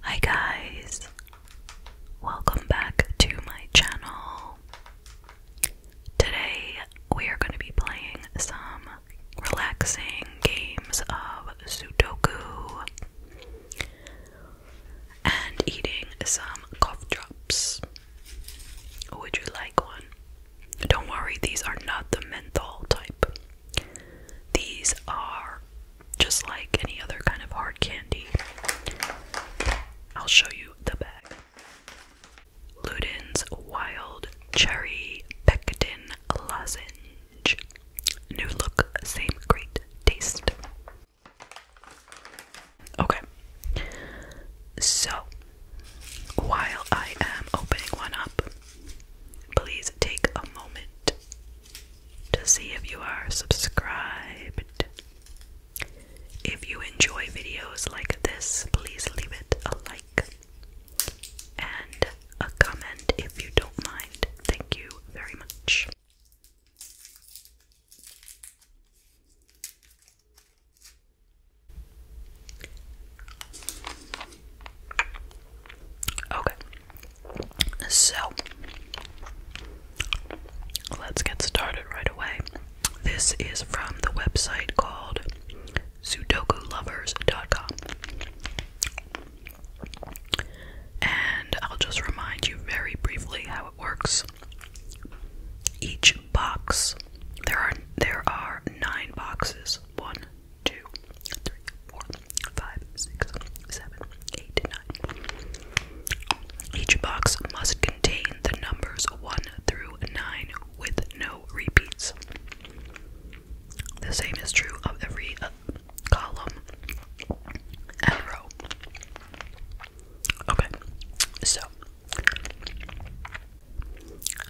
Hi guys, welcome back to my channel. Today we are going to be playing some relaxing games of Sudoku and eating some cough drops. Would you like one? Don't worry, these are not the menthol type. These are just like any other kind of hard candy. I'll show you the bag. Luden's Wild Cherry Pectin Lozenge. New look, same great taste. Okay, so while I am opening one up, please take a moment to see if you are subscribed. If you enjoy videos like this, please leave it a like and a comment if you don't mind. Thank you very much. Okay. So, let's get started right away. This is from the website called sudokulovers.com. And I'll just remind you very briefly how it works. Each box, there are there are 9 boxes. 1 2, Each box must contain the numbers 1 through 9 with no repeats. The same is true of every uh, column and row. Okay, so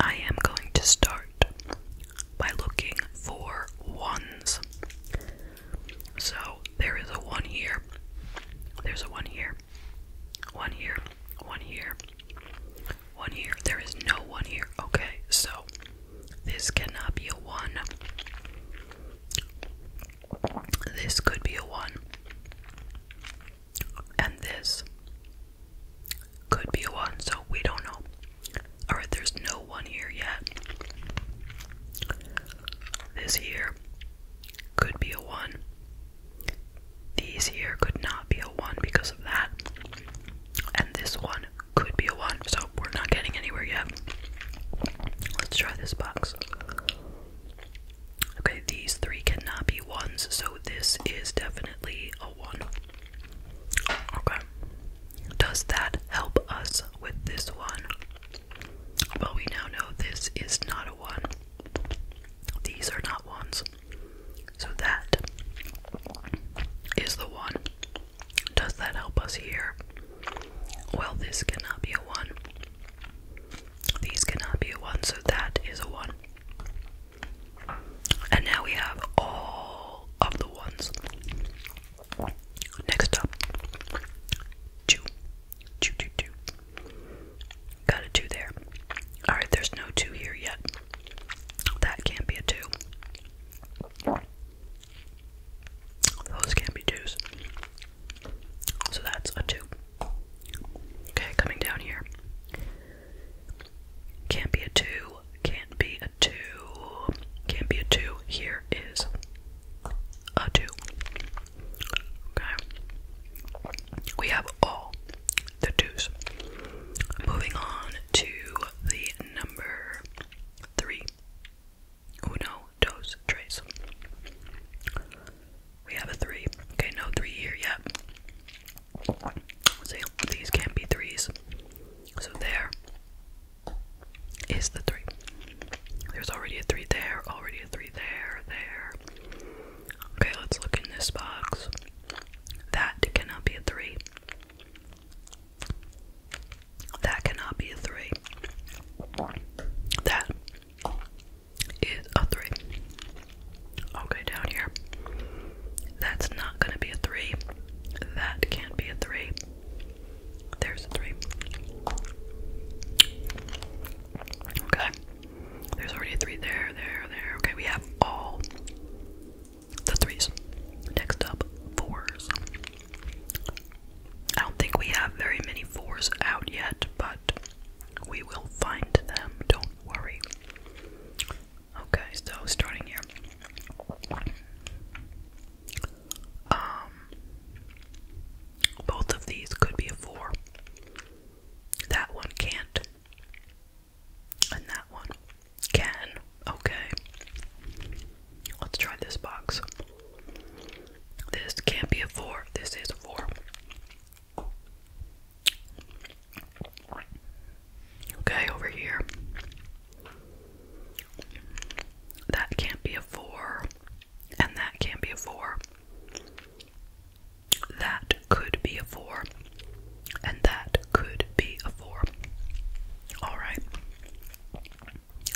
I am going to start by looking for ones. So there is a one here, there's a one here, one here, one here, one here. There is no one here. Okay, so this cannot be a one. This could be a one. And this could be a one, so we don't know. Alright, there's no one here yet. This here could be a one. These here could not be a one because of that. And this one could be a one, so we're not getting anywhere yet. Let's try this box. Okay, these three cannot be ones, so this is definitely a one. Okay. Does that help us with this one? Well, we now know this is not a one. These are not ones. So that is the one. Does that help us here? Well, this cannot be a one. These cannot be a one, so that is a one. And now we have all of the ones. Next up, two, two, two, two. Got a two there. All right, there's no two here yet. That can't be a two. Those can't be twos. So that's a two. Okay, coming down here. Can't be a two can Can't be a two. Can't be a two. Here is a two. Okay. We have all the twos. Moving on to the number three. Uno, dos, tres. We have a three. Okay, no three here yet. see, these can't be threes. So there is the three. There's already a three there, already a three there, there. Okay, let's look in this box. That cannot be a three. That cannot be a three. That is a three. Okay, down here. That's not going to be a 3. That can't be a 3. There's a 3. Okay. There's already a 3 there, there, there. Okay, we have all the 3s. Next up, 4s. I don't think we have very many 4s out yet, but we will find them, don't worry. Okay, so starting here. Um, both of these could be a four. That one can't. And that one can. Okay. Let's try this box. This can't be a four. This is a four. Okay, over here. That can't be a four, and that can't be a four. That could be a four, and that could be a four. Alright.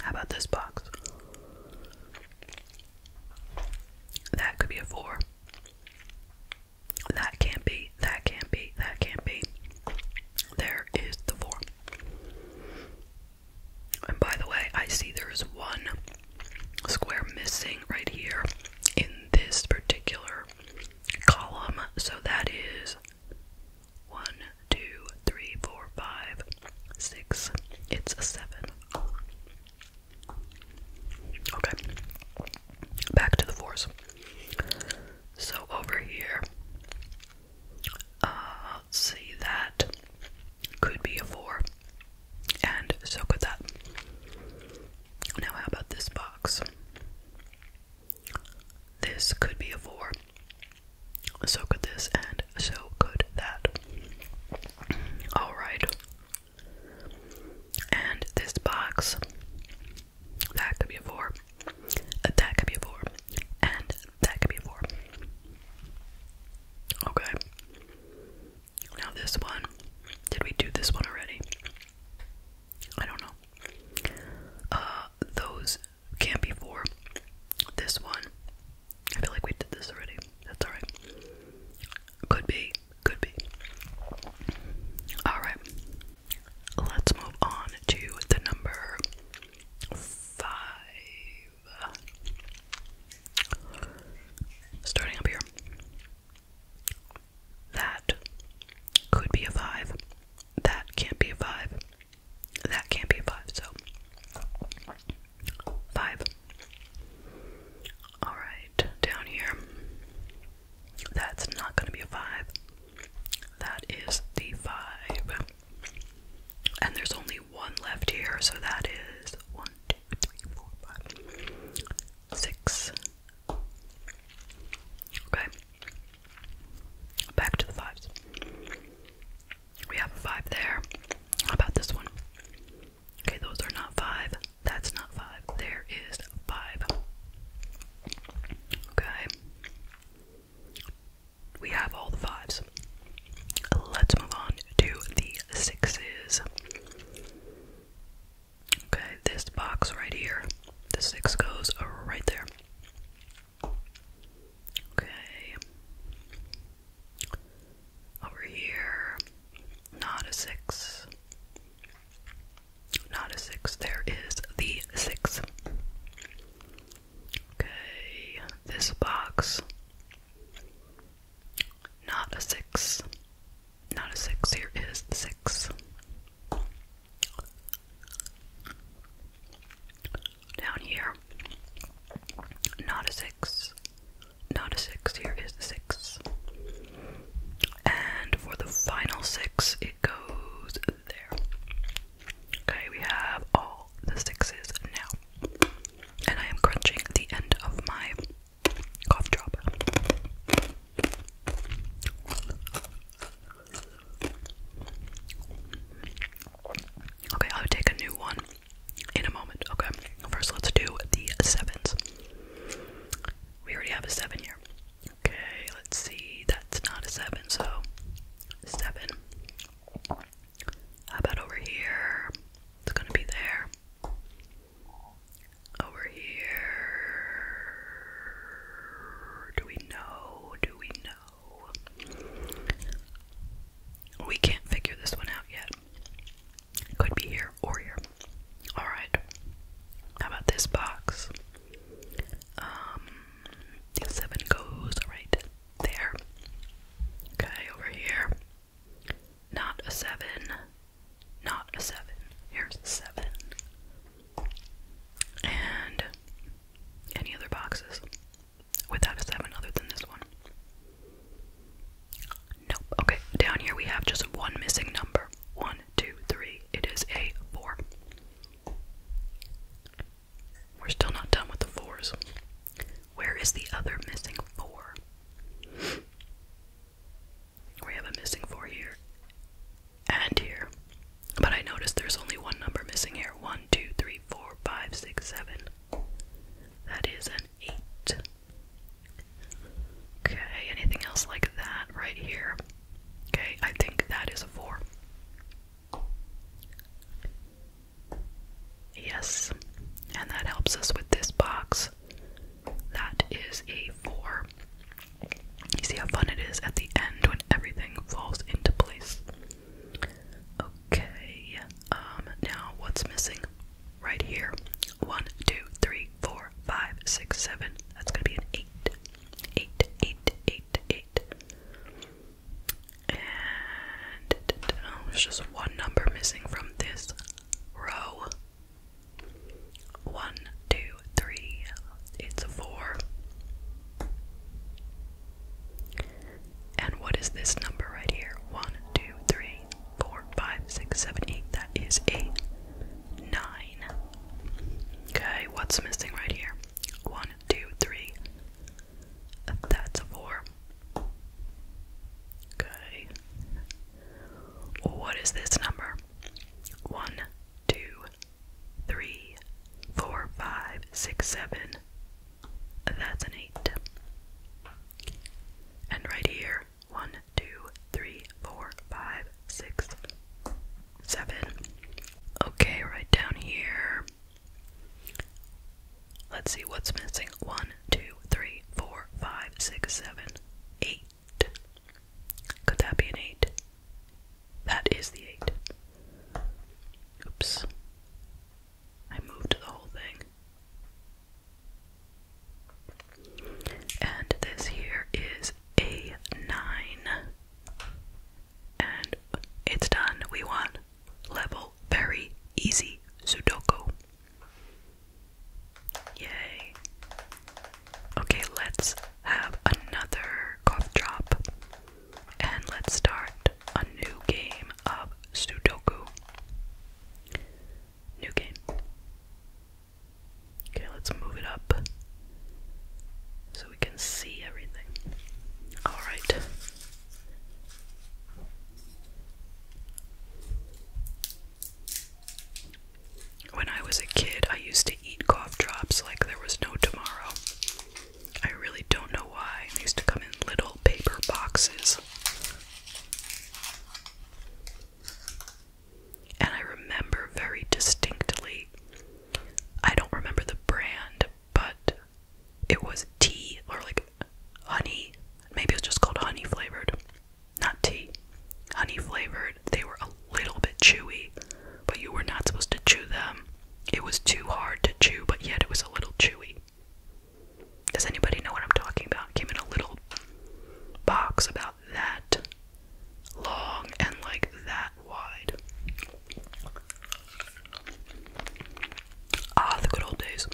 How about this box? That could be a four. That can't be that can't be, that can't be. There is the four. And by the way, I see there is one square missing right here in this particular column. So that is one, two, three, four, five, six. It's a seven. Okay. Back to the fours. So over here, uh, see, that could be a 4, and so could that. Now, how about this box? This could be a 4, so could this, and so could that. Alright. And this box, that could be a 4, that could be a 4. And that could be a 4. Okay. Now this one. Did we do this one already? I don't know. Uh, those can't be 4. This one. I feel like we did this already. That's alright. Could be. Could be. Alright. Let's move on to the number five. Starting up here. That could be a five. That can't be a five. That can't be a five, so five. Alright, down here. That's not gonna be a five. That is the five. And there's only one left here, so that is one, two, three, four, five, six. Okay. Back to the fives. We have a five there. How about this one? Okay, those are not five. That's not five. There is five. Okay. We have all the fives. Let's move on to the sixes. Okay, this box right here, the six goes right there. Okay. Over here, not a six. Not a six. There is the six. Okay, this box. Not a six. Not a six. Here is the six. Down here. Not a six. Not a six. Here is the six. And for the final six goes there. Okay, we have all the sixes now. And I am crunching the end of my cough drop. Okay, I'll take a new one in a moment. Okay, first let's do the sevens. We already have a seven here. Okay, let's see. That's not a 7, so 7. How about over here? It's gonna be there. Over here. Do we know? Do we know? We can't figure this one out yet. could be here or here. Alright. How about this box? Um, seven goes right there. Okay, over here. Not a seven. Not a seven. Here's a seven. And any other boxes without a seven other than this one? Nope. Okay, down here we have just one missing number. One one, two, three. It is a four. We're still not done with the fours. Where is the other missing four? We have a missing four here and here. But I noticed there's only one number missing here. One, two, three, four, five, six, seven. That is an eight. Okay, anything else like that right here? Okay, I think that is a four. Yes, and that helps us with this box. That is a four. You see how fun it is at the end when everything falls into place. Okay, um, now what's missing? Right here. One, two, three, four, five, six, seven. That's gonna be an eight eight, eight, eight, eight. And oh, there's just one number missing from this row. One, two, three. It's a four. And what is this number right here? One, two, three, four, five, six, seven, eight. That is seven, eight. That nine. Okay, what's missing right here? One, two, three. That's a four. Okay. What is this number? One, two, three, four, five, six, seven. That's an eight. And right here, one, two, three, four, five, six, seven. Okay, right down here. Let's see what's missing. One, two, three, four, five, six, seven, eight. Could that be an eight? That is the eight. Oops. I moved the whole thing. And this here is a 9. And it's done. We won. Level very easy Sudoku. Yay. Okay, let's have another cough drop. And let's start a new game of Sudoku. New game. Okay, let's move it up so we can see everything. Alright. When I was a kid, I used to eat cough drops like there was no tomorrow. I really don't know why. They used to come in little paper boxes. And I remember very distinctly, I don't remember the brand, but it was tea or like honey. Maybe it was just called honey flavored. Not tea. Honey flavored. They were a little bit chewy, but you were not supposed to chew them. It was too hard to chew, but yet it was a little chewy. Does anybody know what I'm talking about? came in a little box about that long and like that wide. Ah, the good old days.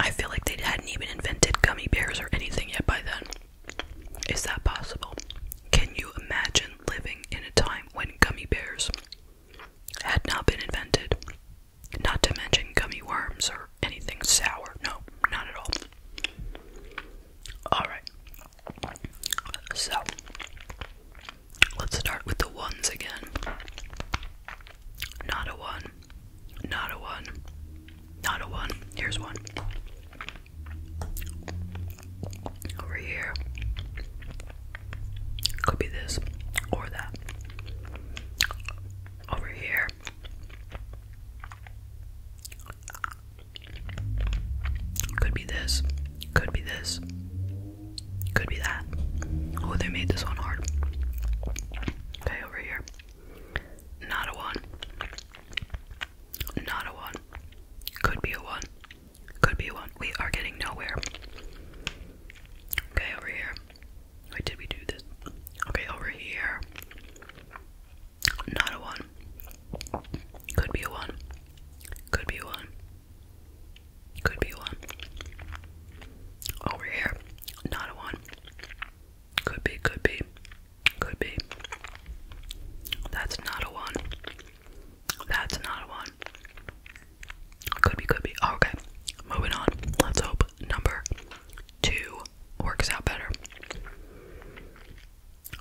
I feel like they hadn't even invented gummy bears or anything yet by then. Is that possible? Can you imagine living in a time when gummy bears had not been invented? Not to mention gummy worms or anything sour. No, not at all. Alright. So, let's start with the ones again. Not a one. Not a one. Not a one. Here's one. Over here. Could be this or that. Over here. Could be this. Could be this. Could be that. Oh, they made this one hard. Okay, over here. Not a one. Not a one. Could be a one. Could be a one. We are getting nowhere. Okay, over here. Wait, did we do this? Okay, over here. Not a one. Could be a one. Could be a one. Could be a one. Over here. Not a one. Could be, could be. Could be. That's not a one. That's not a one. Could be, could be. Oh, okay. Moving on. Let's hope number two works out better.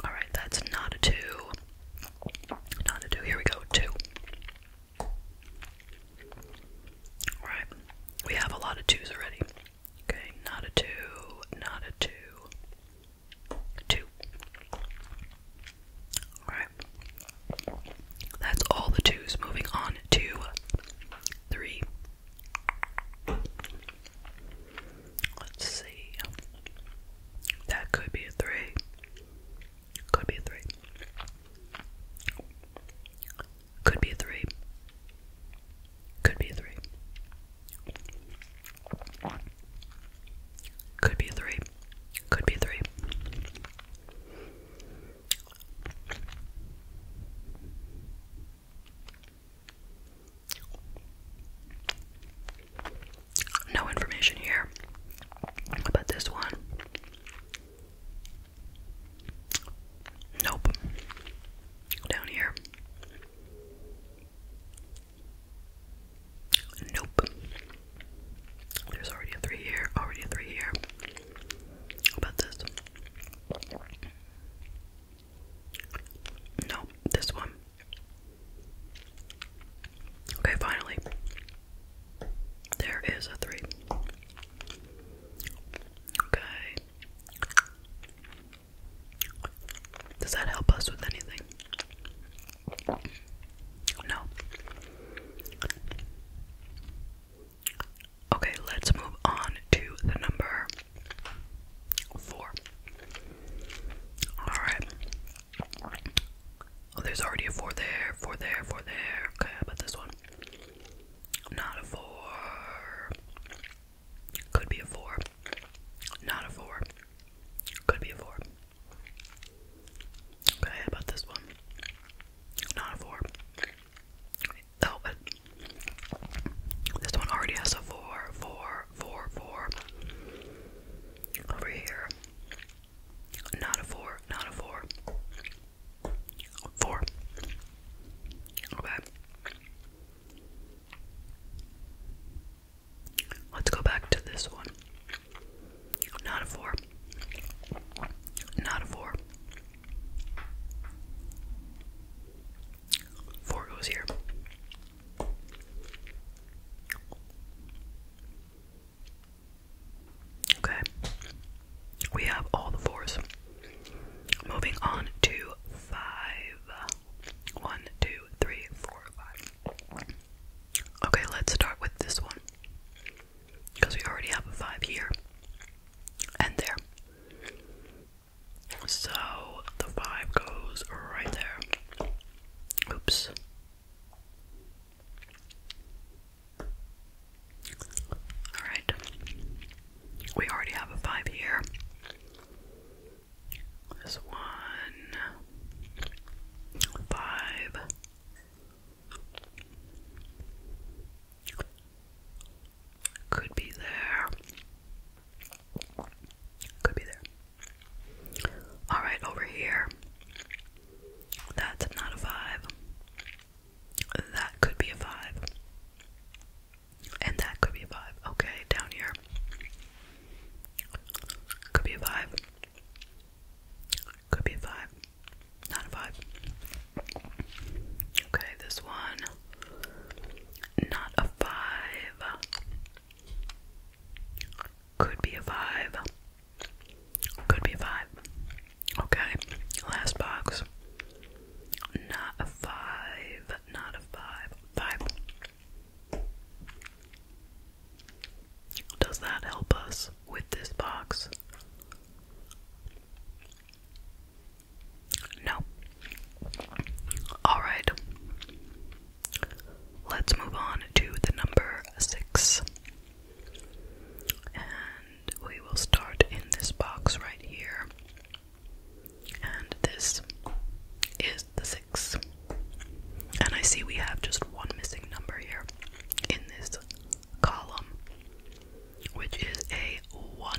Alright, that's not a two. Not a two. Here we go. Two. Alright. We have a lot of twos already. Okay, not a two, not a two. Two. Alright. That's all the twos. Moving on Two. three. Let's see. That could be a three. Could be a three. Could be a three. Could be a three. Could be a three. Could be a three. No information here about this one. Nope. Down here. Nope. There's already a three here, already a three here. about this? No, this one. Okay, finally. There is a three. Okay. Does that help us with anything? No. Okay, let's move on to the number four. Alright. Oh, there's already a four there, four there, four there. Okay, about this one? Not a four. Could be a four. Not a four. Could be a four. Okay, about this one? Not a four. Oh, this one already has a four, four, four, four. Over here. Not a four, not a four. Four. Okay. Let's go back to this one. Not a four. Not a four. Four goes here. Okay. We have all the fours. Moving on to five. One, two, three, four, five. Okay, let's start with this one. Because we already have a five here and there. So the vibe goes right there. Oops. Alright. We already have a five here. This one. Five. Could be there. Could be there. Alright, over here. That's not a five. That could be a five. And that could be a five. Okay, down here. Could be a five. Could be a five. Not a five. Okay, this one, not a five, could be a five, could be a five. Okay, last box, not a five, not a five, five. Does that help us with this box? No. Alright. Let's move on to the number six. And we will start in this box right here. And this is the six. And I see we have just one missing number here in this column, which is a 1.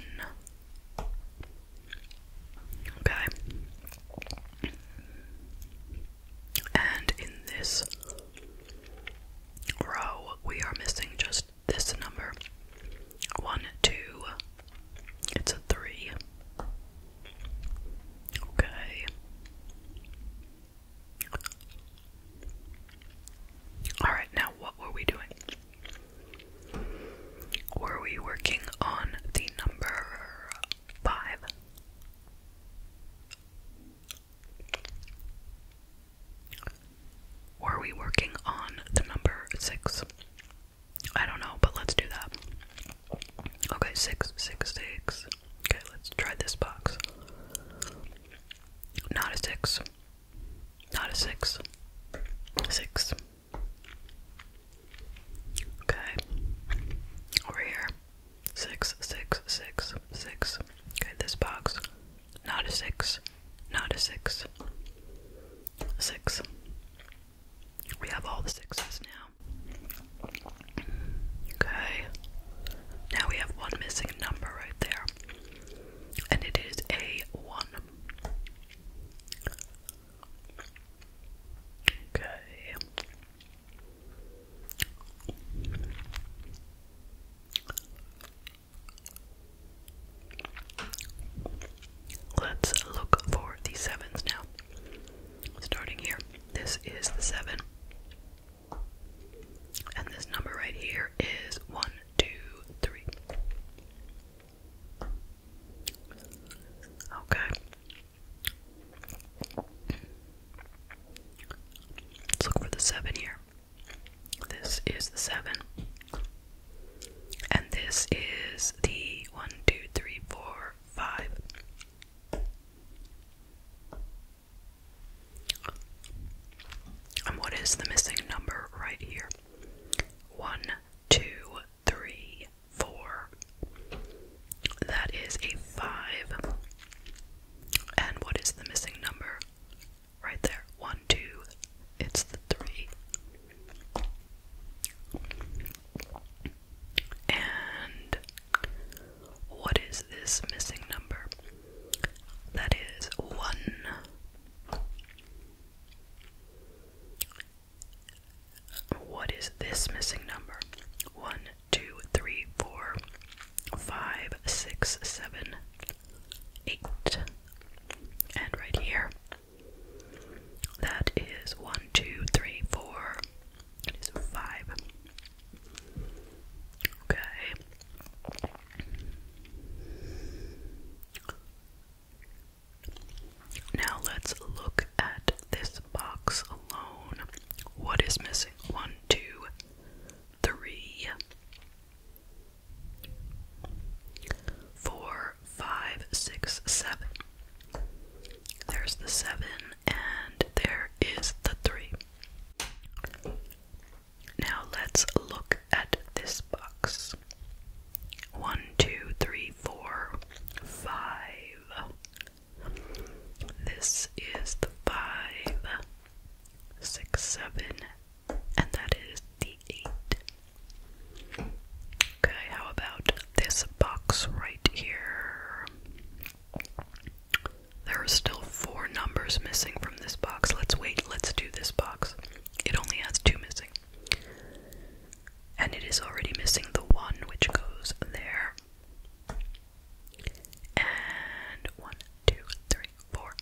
Okay. And in this row, we are missing just this number 1, 2. It's a 3. Okay. Alright, now what were we doing? Were we working on the number five? Were we working on the number six? I don't know, but let's do that. Okay, six, six, six. Okay, let's try this box. Not a six. Not a six. Six. Okay. Over here. Six, six, six, six. Okay, this box. Not a six. Not a six. Six. We have all the sixes now. Okay. Now we have one missing number right there and it is a one. Okay. Let's look for the sevens now. Starting here, this is the seven, and this number right here is one two, three. Okay. Let's look for the seven here. This is the seven. And this is the one, two, three, four, five. And what is the missing number right here? One, two, three, four. That is a five. And what is the missing number? Right there. One, two. It's the three. And what is this missing number? That is one, what is this missing number? One, two, three, four, five, six, seven, eight. And right here. That is one, two, three, four. It is five. Okay. Now let's look at this box alone. What is missing? One, two, three, four, five, six, seven. There's the seven, and there is the three. Now let's look at this box. One, two, three, four, five. This is the five, six, seven, and that is the eight. Okay, how about this box right here? There are still four numbers missing from this box. Let's wait. Let's do this box. It only has two missing. And it is already missing the one which goes there. And one, two, three, four,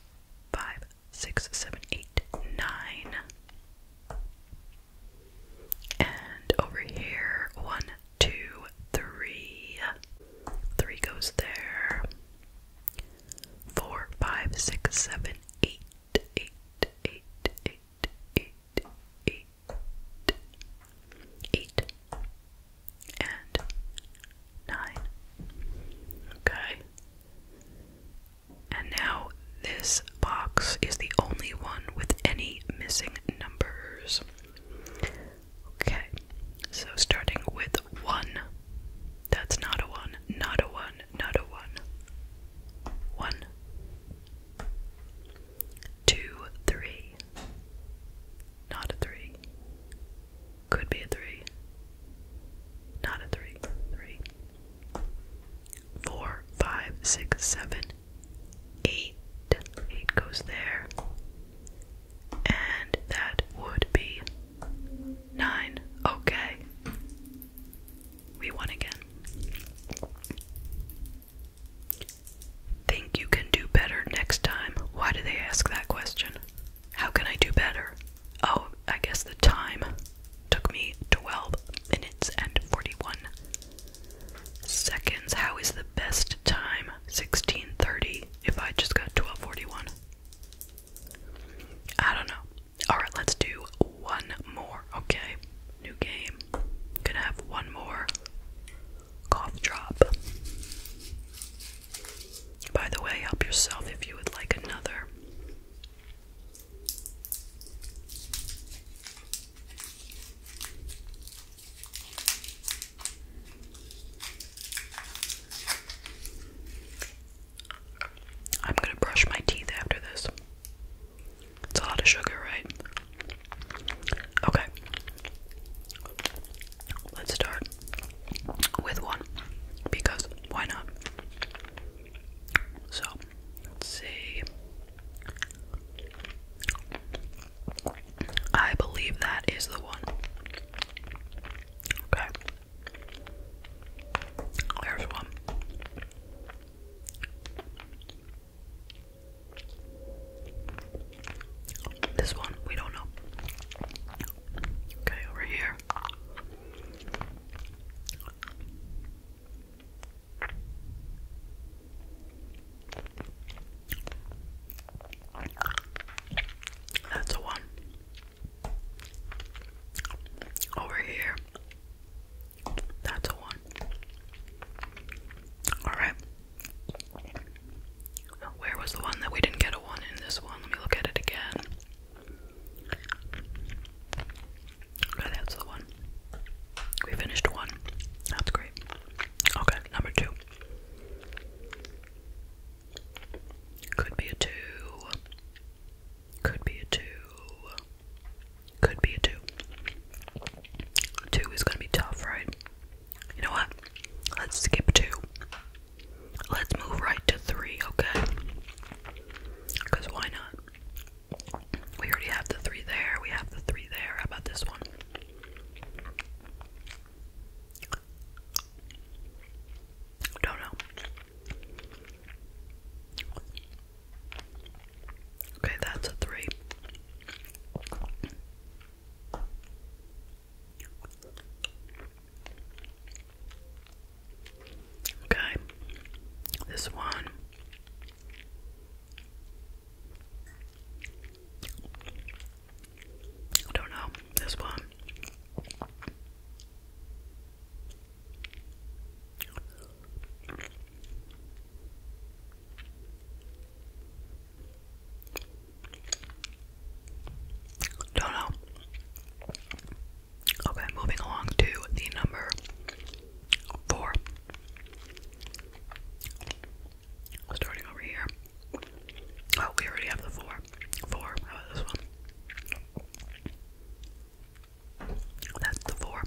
five, six, seven, eight, nine. And over here, one, two, goes there. Four, five, six, seven, eight, eight, eight, eight, eight, eight, eight, and nine. Okay. And now this box is the only one with any missing numbers. Okay, so starting with one. That's not a one, not a one, not a one. One, two, three. Not a three. Could be a three. Not a three. Three. Four, five, six, seven, eight. Eight goes there. And that would be Nine. Okay. We won again. Think you can do better next time? Why do they ask that question? How can I do better? Oh, I guess the time took me 12 minutes and 41 seconds. How is the best time? 1630 if I just got 1241. I don't know. Alright, let's do one more, okay? New game. Gonna have one more cough drop. By the way, help yourself if you would like another. I'm gonna brush my teeth after this. It's a lot of sugar, right? Okay. Let's start with one because why not? So, let's see. I believe that is the one. Okay. There's one. This one, we don't know. Okay, over here. That's a one. Over here. That's a one. Alright. Where was the one that we didn't get a one in this one? Let me look at it again. Okay, that's the one. We finished one. That's great. Okay, number two. Could be a two. Could be a two. Could be a two. Two is gonna be tough, right? You know what? Let's skip two. Let's move right to three, okay? Because why not? We already have the three there. We have the three there. How about this one? Don't know. Okay, that's a three. Okay, this one. I don't know. This one. Don't know. Okay, moving along to the number four. Starting over here. Oh, we already have the four four. How about this one? That's the four.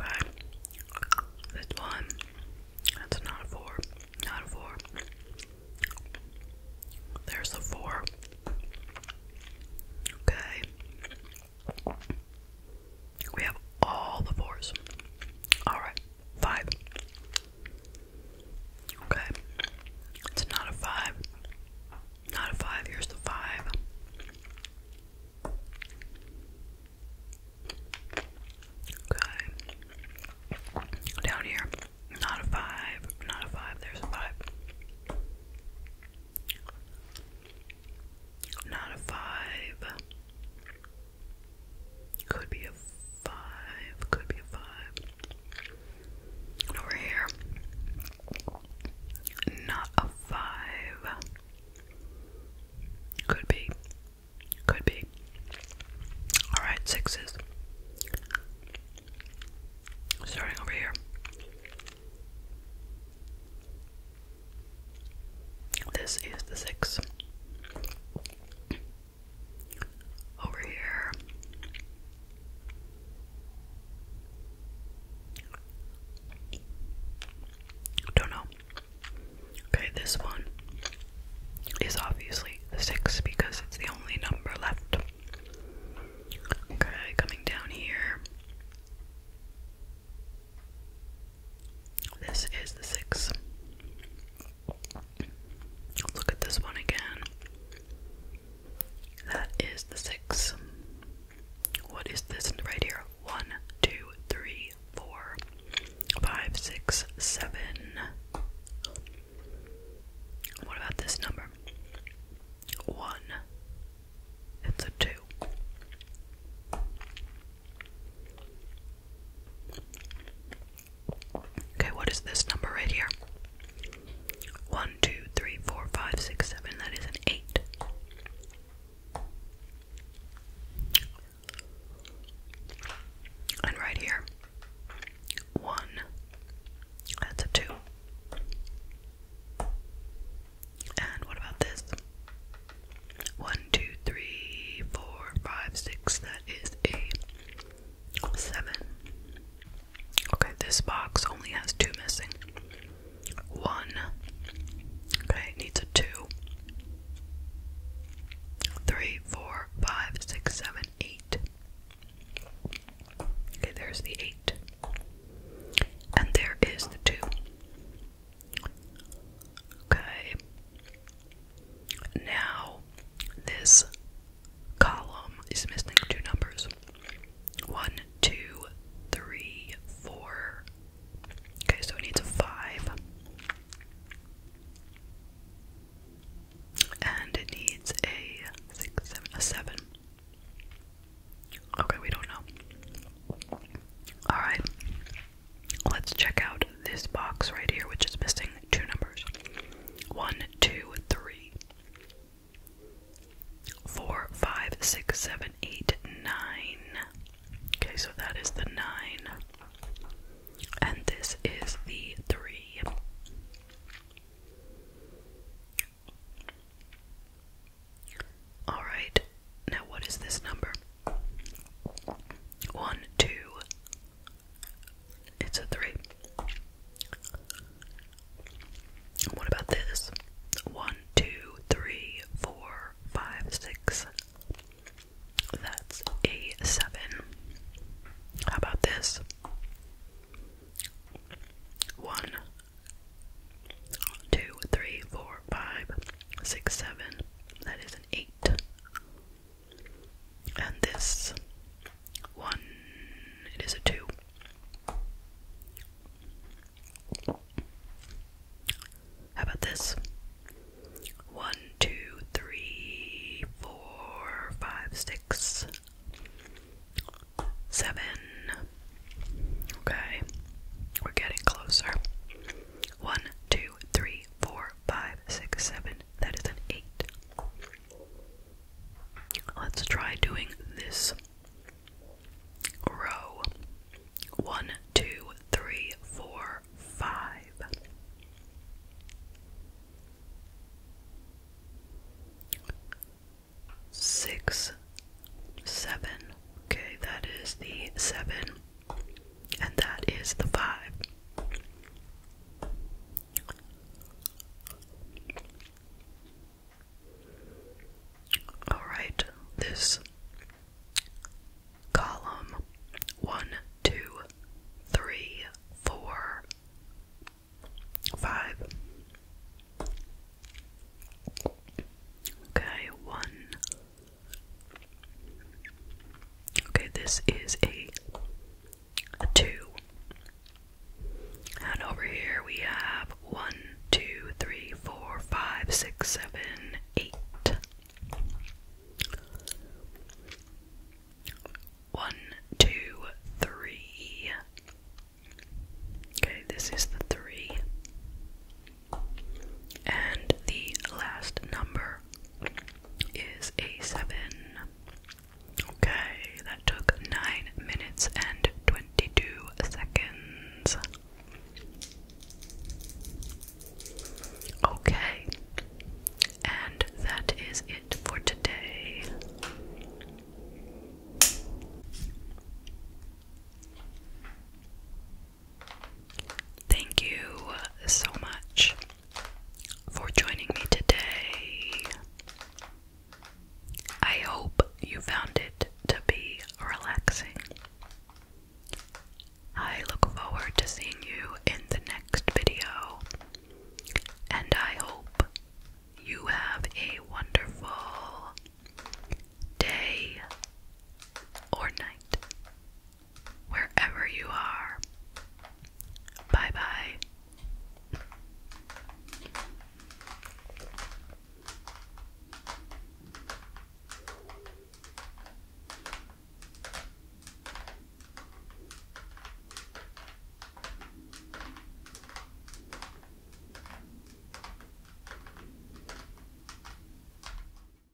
Okay. This one. That's not a four. Not a four. There's the four. Okay. We have all the fours. Alright. Five. Okay. It's not a five. Not a five. Here's the five. Okay. Down here. Not a five. Not a five. There's a five. Not a five. Could be a five, could be a five. Over here, not a five. Could be, could be. Alright, sixes. Starting over here. This is the six over here. Don't know. Okay, this one is obviously six because it's the only number left. Okay, coming down here. This is the six. Look at this one again. That is the six. What is this right here? One, two, three, four, five, six, seven. What about this number? One. It's a two. Okay, what is this number right here? 1, 2, 3, 4, 5, 6, 7. That is an 8. And right here, 1. That's a 2. And what about this? 1, one, two, three, four, five, six. That is a seven. Okay, this box only has two missing. One. Okay, needs a two. Three, four, five, six, seven, eight. Okay, there's the eight. And there is the two. Okay, now, this column is missing two numbers one, two, three, four. Okay, so it needs a five. And it needs a six, seven, a seven. Okay, we don't know. Alright. Let's check out this box right here, which is missing two numbers one, two, three, four, five, six, seven, eight, nine. Okay, so that is the nine, and this is the three. All right, now what is this number? One, two, it's a three. What about this? One, two, three, four, five, six. That's a seven. How about this? One, two, three, four, five, six, seven. That is an eight and this one is a two how about this one two three four five six seven okay we're getting closer one two three three, four, five, six, seven. That is an eight. Let's try doing this row. One, two, three, four, five. Six, seven. Okay, that is the seven, and that is the five. All right, this column one, two, three, four, five. Okay, one, Okay, this is a, a two. And over here we have one, two, three, four, five, six, seven, eight. One, two, three. Okay, this is the three. And the last number is a 7. Okay, that took 9 minutes and 22 seconds. Okay, and that is it for today. Thank you so much for joining me today. I hope you found it to be relaxing. I look forward to seeing you in the next video, and I hope you have a wonderful day or night wherever you are. Bye bye.